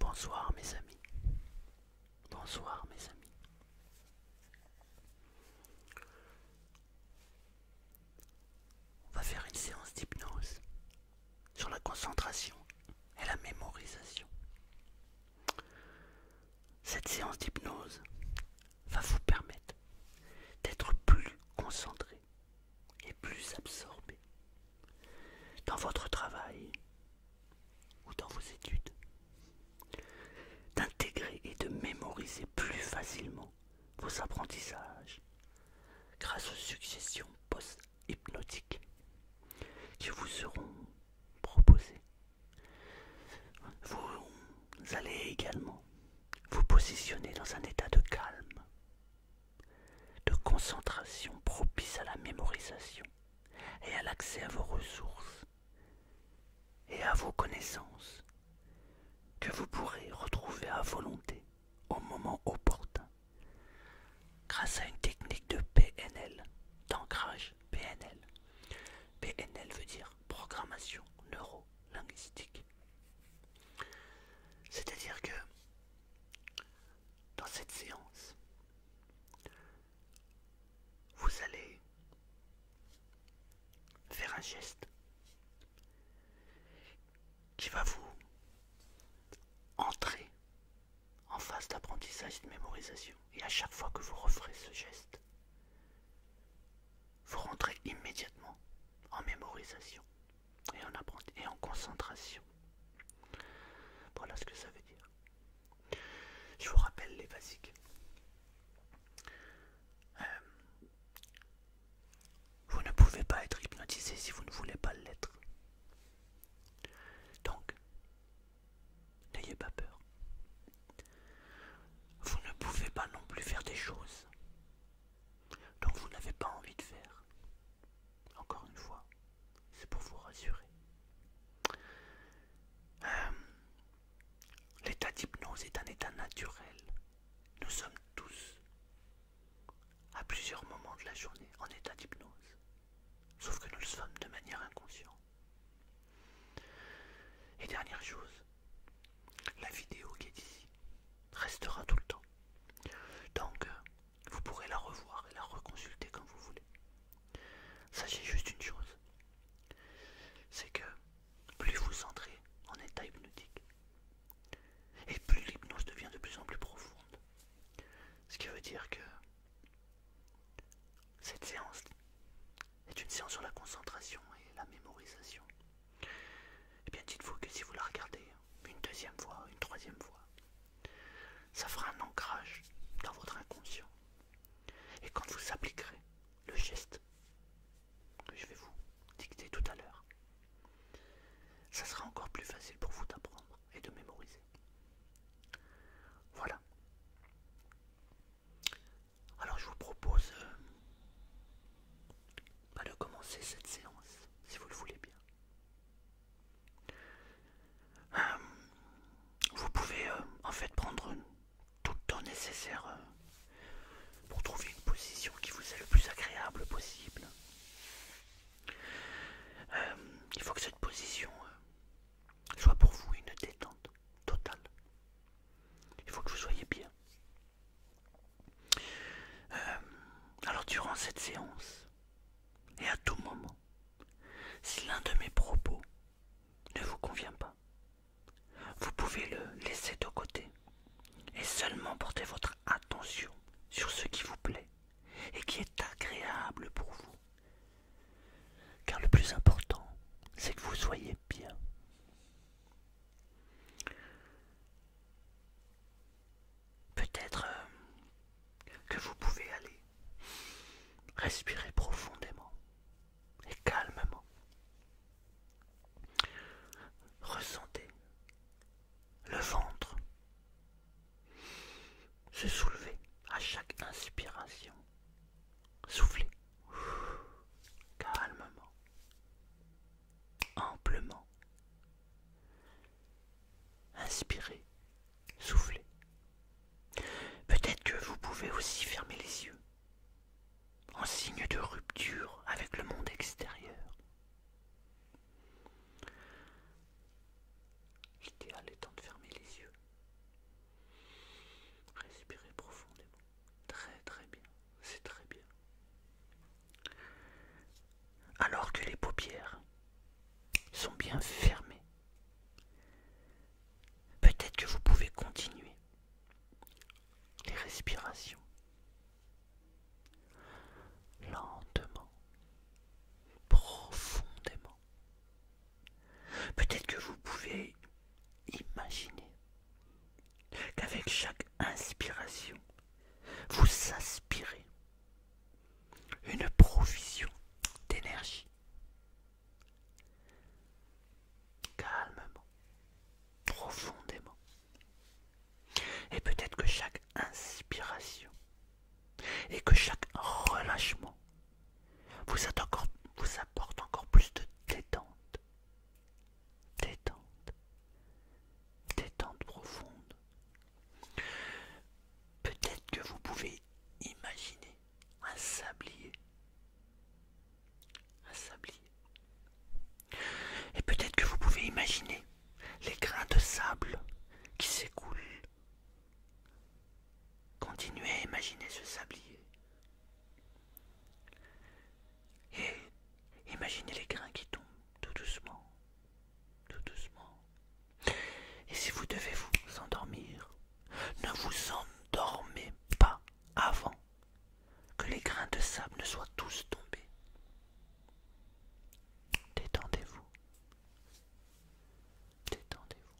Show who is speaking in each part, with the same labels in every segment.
Speaker 1: Bonsoir mes amis. Bonsoir mes amis. On va faire une séance d'hypnose sur la concentration et la mémorisation. Cette séance d'hypnose va vous permettre d'être plus concentré et plus absorbé dans votre travail ou dans vos études, d'intégrer et de mémoriser plus facilement vos apprentissages grâce aux suggestions post-hypnotiques qui vous seront proposées. Vous allez également vous positionnez dans un état de calme, de concentration propice à la mémorisation et à l'accès à vos ressources et à vos connaissances que vous pourrez retrouver à volonté au moment opportun grâce à une technique de PNL, d'ancrage PNL, PNL veut dire programmation neuro-linguistique. C'est-à-dire que dans cette séance, vous allez faire un geste qui va vous entrer en phase d'apprentissage et de mémorisation. Et à chaque fois que vous referez ce geste, vous rentrez immédiatement en mémorisation et en et en concentration. Voilà ce que ça veut dire. Je vous rappelle les basiques. Euh, vous ne pouvez pas être hypnotisé si vous ne voulez pas l'être. Donc, n'ayez pas peur. Vous ne pouvez pas non plus faire des choses dont vous n'avez pas envie de faire. Encore une fois, c'est pour vous rassurer. Euh, l'état d'hypnose est un état naturel. Nous sommes tous, à plusieurs moments de la journée, en état d'hypnose. Sauf que nous le sommes de manière inconsciente. Et dernière chose, la vidéo qui est ici restera tout le temps. Donc, euh, vous pourrez la revoir et la reconsulter comme vous voulez. Sachez juste une chose, c'est que plus vous entrez en état hypnotique, et plus l'hypnose devient de plus en plus profonde. Ce qui veut dire que cette séance c'est une séance sur la concentration et la mémorisation. Eh bien, dites-vous que si vous la regardez une deuxième fois, une troisième fois, ça fera un ancrage dans votre inconscient. Et quand vous appliquerez le geste que je vais vous dicter tout à l'heure, ça sera encore plus facile pour vous d'apprendre et de mémoriser. Voilà. Alors je vous propose euh, bah, de commencer cette séance, si vous le voulez bien. Euh, vous pouvez euh, en fait prendre tout le temps nécessaire pour trouver une position qui vous est le plus agréable possible. il faut que cette position soit pour vous une détente totale. Il faut que vous soyez bien. Euh, alors durant cette séance, et à tout moment, si l'un de mes propos ne vous convient pas, vous pouvez le laisser de côté et seulement porter votre attention sur ce qui vous plaît et qui est agréable pour vous. Car le plus important, c'est que vous soyez bien. Peut-être euh, que vous pouvez aller respirer profondément et calmement. Ressentez le ventre se soulever à chaque inspiration Soufflez. Calmement. Amplement. Inspirez. Soufflez. Peut-être que vous pouvez aussi fermer les yeux. En signe de rupture avec le monde extérieur. L'idéal étant de fermer les yeux Respirez profondément. Très très bien. C'est très bien. Alors que les paupières sont bien fermées, peut-être que vous pouvez continuer les respirations lentement, profondément. Peut-être que vous pouvez imaginer qu'avec chaque inspiration, vous aspirez une provision d'énergie. Calmement, profondément. Et peut-être que chaque inspiration et que chaque relâchement vous, apportez apporte encore plus de détente. Détente. Détente profonde. Peut-être que vous pouvez imaginer un sablier. Un sablier. Et peut-être que vous pouvez imaginer les grains de sable qui s'écoulent Continuez à imaginer ce sablier. Et imaginez les grains qui tombent tout doucement, tout doucement. Et si vous devez vous endormir, ne vous endormez pas avant que les grains de sable ne soient tous tombés. Détendez-vous. Détendez-vous.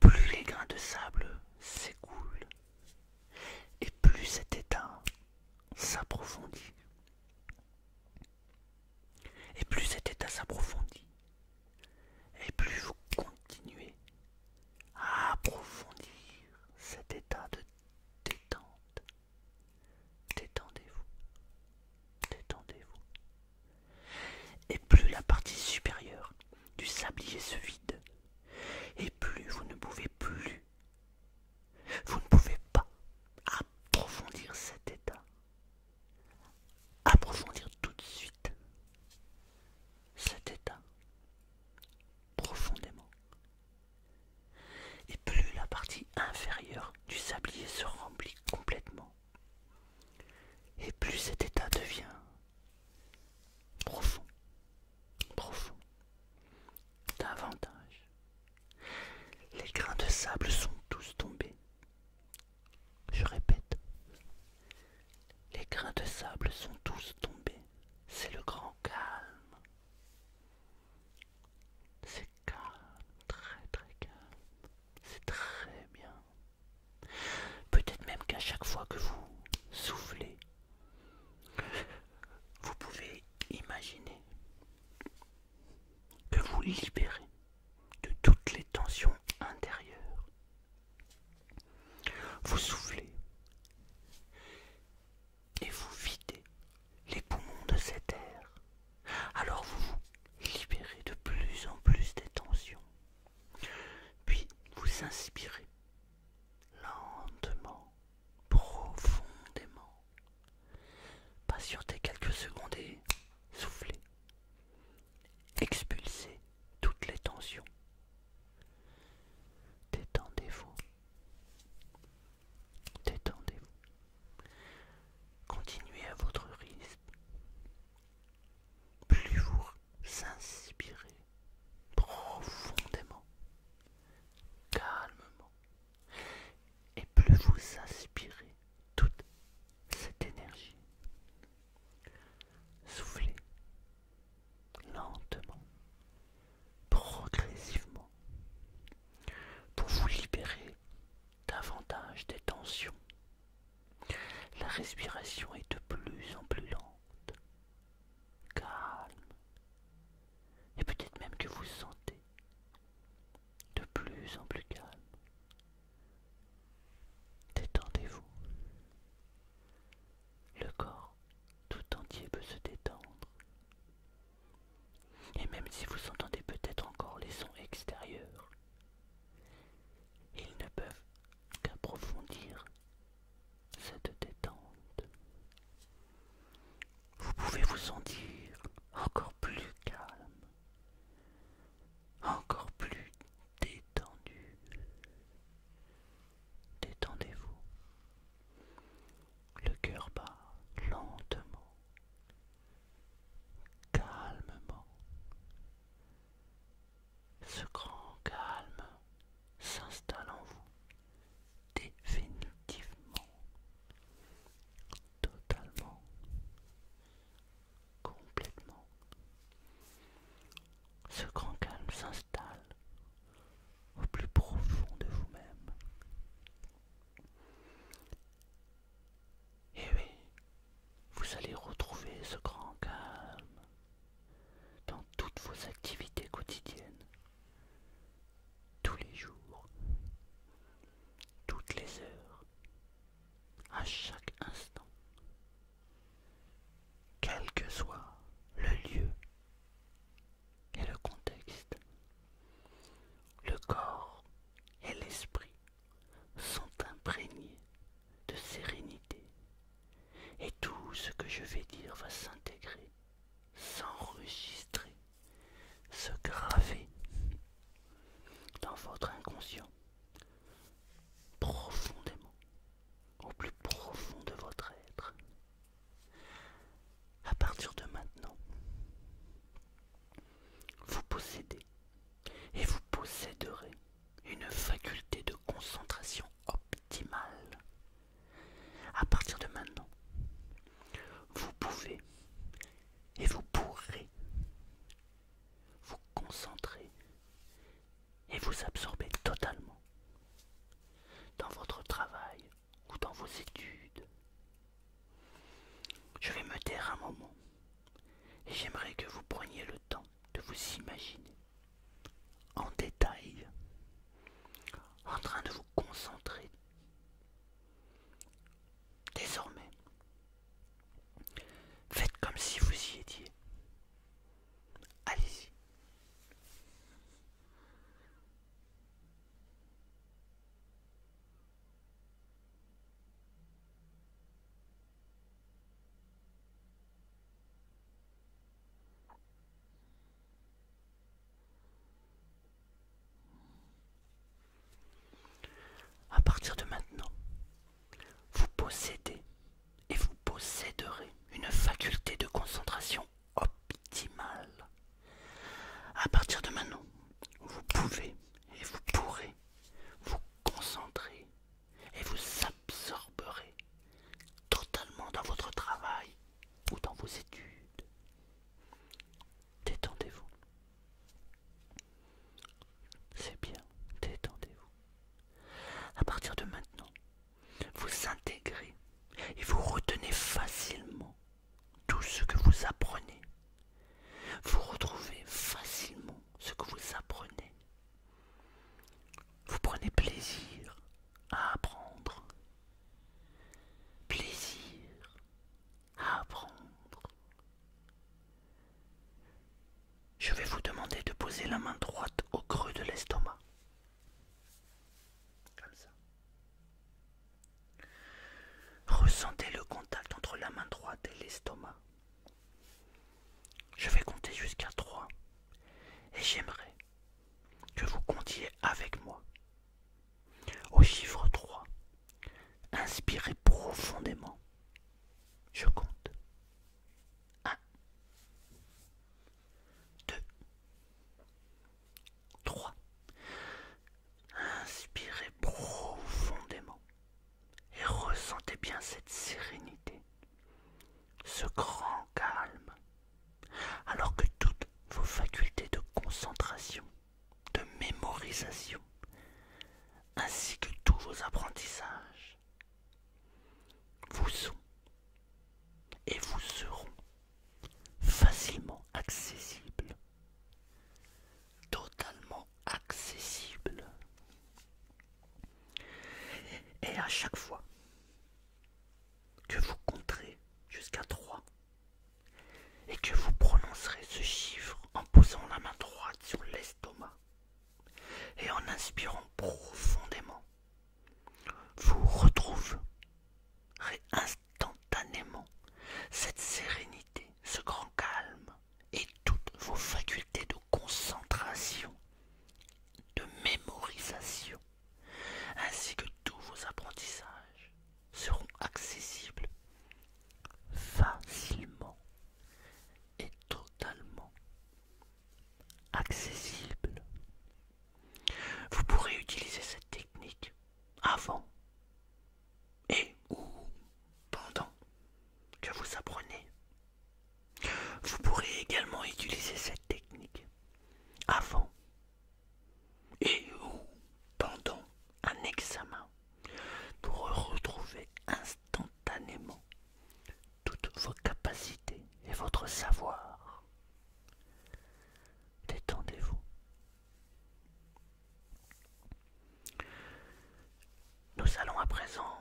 Speaker 1: Plus les grains de sable s'écoulent, et plus cet état s'approfondit. Et plus cet état s'approfondit, et plus vous continuez à approfondir cet état de détente. Détendez-vous. Détendez-vous. Et plus la partie supérieure du sablier se vide, et plus vous ne pouvez plus, vous ne pouvez pas approfondir cet état, approfondir tout de suite cet état profondément. Et plus la partie inférieure du sablier se remplit complètement, et plus cet état devient profond, profond, davantage. Les grains de sable sont tous tombés. Je répète, les grains de sable sont tous tombés. C'est le grand calme très très très calme. C'est très bien. Peut-être même qu'à chaque fois que vous soufflez, vous pouvez imaginer que vous libérez de toutes les tensions intérieures. Vous soufflez et vous videz les poumons de cet air alors vous vous libérez de plus en plus des tensions. Puis vous inspirez lentement, profondément. Patientez quelques secondes et soufflez. Expulsez toutes les tensions. Détendez-vous. Détendez-vous. Continuez à votre rythme plus vous inspirez profondément, calmement, et plus vous inspirez toute cette énergie. Soufflez lentement, progressivement, pour vous libérer davantage des tensions. La respiration est de plus en plus lente, calme, et peut-être même que vous sentez de plus en plus calme. Détendez-vous. Le corps tout entier peut se détendre et même si vous entendez peut-être encore les sons extérieurs, ils ne peuvent qu'approfondir cette détente. Vous pouvez vous sentir encore plus calme, encore plus détendu. Détendez-vous. Le cœur bat lentement, calmement. Ce grand calme s'installe en vous définitivement, totalement, complètement. Ce grand calme s'installe au plus profond de vous-même. Et eh oui, vous allez retrouver ce grand calme dans toutes vos activités quotidiennes, tous les jours, toutes les heures, à chaque instant, quel que soit le lieu et le contexte. Le corps et l'esprit sont imprégnés de sérénité et tout ce que je vais dire va s'intégrer, s'enregistrer, se graver dans votre inconscient profondément, au plus profond de votre être à partir de maintenant, vous possédez et vous posséderez une faculté de concentration optimale. À partir de maintenant, vous pouvez et vous pourrez vous concentrer et vous absorber totalement dans votre travail ou dans vos études. Je vais me taire un moment et j'aimerais que vous preniez le temps de vous imaginer en détail en train de vous concentrer. Désormais, faites comme si vous y étiez. Allez-y. À partir de maintenant, vous possédez et vous posséderez une faculté de concentration optimale. À partir de maintenant, vous pouvez et vous pourrez vous concentrer et vous absorberez totalement dans votre travail ou dans vos études. Détendez-vous. C'est bien, détendez-vous. À partir de maintenant, vous intégrez et vous retenez facilement tout ce que vous apprenez. Vous retrouvez facilement ce que vous apprenez. Vous prenez plaisir à apprendre. Plaisir à apprendre. Je vais vous demander de poser la main droite au creux de l'estomac. Comme ça. Ressentez le contact entre la main droite et l'estomac. Je vais compter jusqu'à 3 et j'aimerais que vous comptiez avec moi. Au chiffre 3, inspirez profondément. Je compte. 1, 2, 3. Inspirez profondément et ressentez bien cette sérénité, ce grand calme, alors que toutes vos facultés de concentration, de mémorisation, ainsi que tous vos apprentissages vous sont et vous seront facilement accessible, totalement accessible. Et à chaque fois que vous compterez jusqu'à 3 et que vous prononcerez ce chiffre en posant la main droite sur l'estomac et en inspirant profondément, vous retrouverez instantanément cette sérénité, ce grand calme et toutes vos facultés de concentration, de mémorisation, ainsi que tous vos apprentissages seront accessibles facilement et totalement accessibles vous pourrez utiliser cette technique avant et ou pendant que vous apprenez. Vous pourrez également utiliser cette technique avant et ou pendant un examen pour retrouver instantanément toutes vos capacités et votre savoir détendez-vous. Nous allons à présent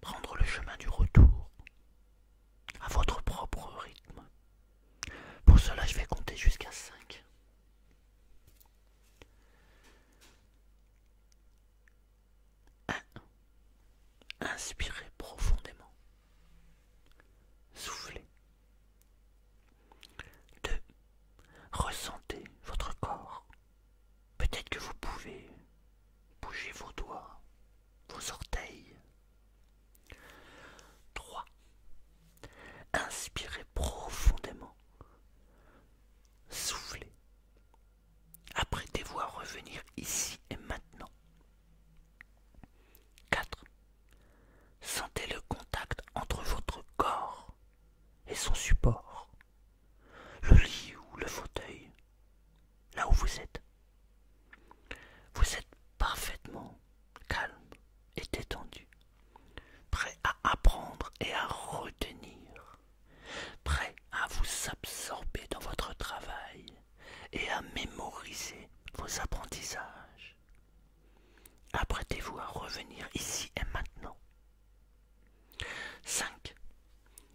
Speaker 1: prendre le chemin du retour à votre propre rythme. Pour cela, je vais compter jusqu'à 5. Inspirez profondément. Soufflez. 2. Ressentez votre corps. Peut-être que vous pouvez bouger vos doigts, vos orteils. 3. Inspirez profondément. Soufflez. Apprêtez-vous à revenir ici et maintenant. 4. Sentez le contact entre votre corps et son support, le lit ou le fauteuil, là où vous êtes. Vous êtes parfaitement calme et détendu, prêt à apprendre et à retenir, prêt à vous absorber dans votre travail et à mémoriser vos apprentissages. Apprêtez-vous à revenir ici et maintenant. 5.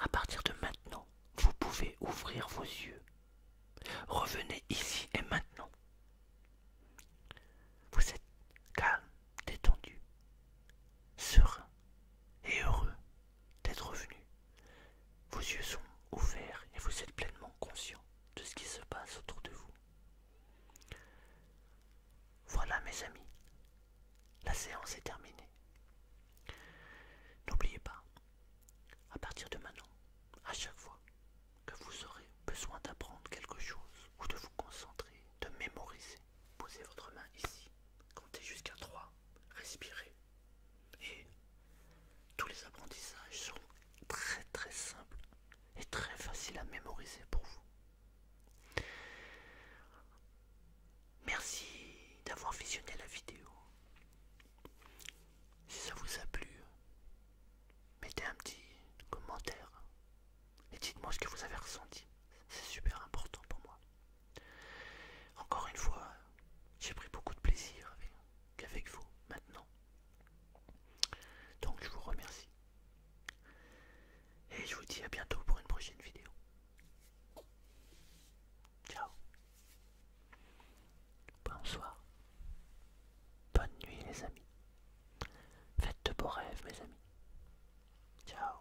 Speaker 1: À partir de maintenant, vous pouvez ouvrir vos yeux. Revenez ici et maintenant. Vous êtes calme, détendu, serein et heureux d'être revenu vos yeux sont ouverts et vous êtes pleinement conscient de ce qui se passe autour de vous. Voilà mes amis, la séance est terminée. N'oubliez pas, à partir de maintenant, à chaque fois que vous aurez besoin d'apprendre quelque chose ou de vous concentrer, de mémoriser, posez votre main ici, comptez jusqu'à 3, respirez et tous les apprentissages sont très très simples et très faciles à mémoriser pour vous. Merci d'avoir visionné la vidéo. Si ça vous a plu, mettez un petit commentaire et dites-moi ce que vous avez ressenti. C'est super important pour moi. Encore une fois, j'ai pris beaucoup de plaisir qu'avec vous maintenant. Donc je vous remercie. Et je vous dis à bientôt pour une prochaine vidéo. Ciao. Bonsoir. Bonne nuit les amis. Faites de beaux rêves mes amis. Ciao.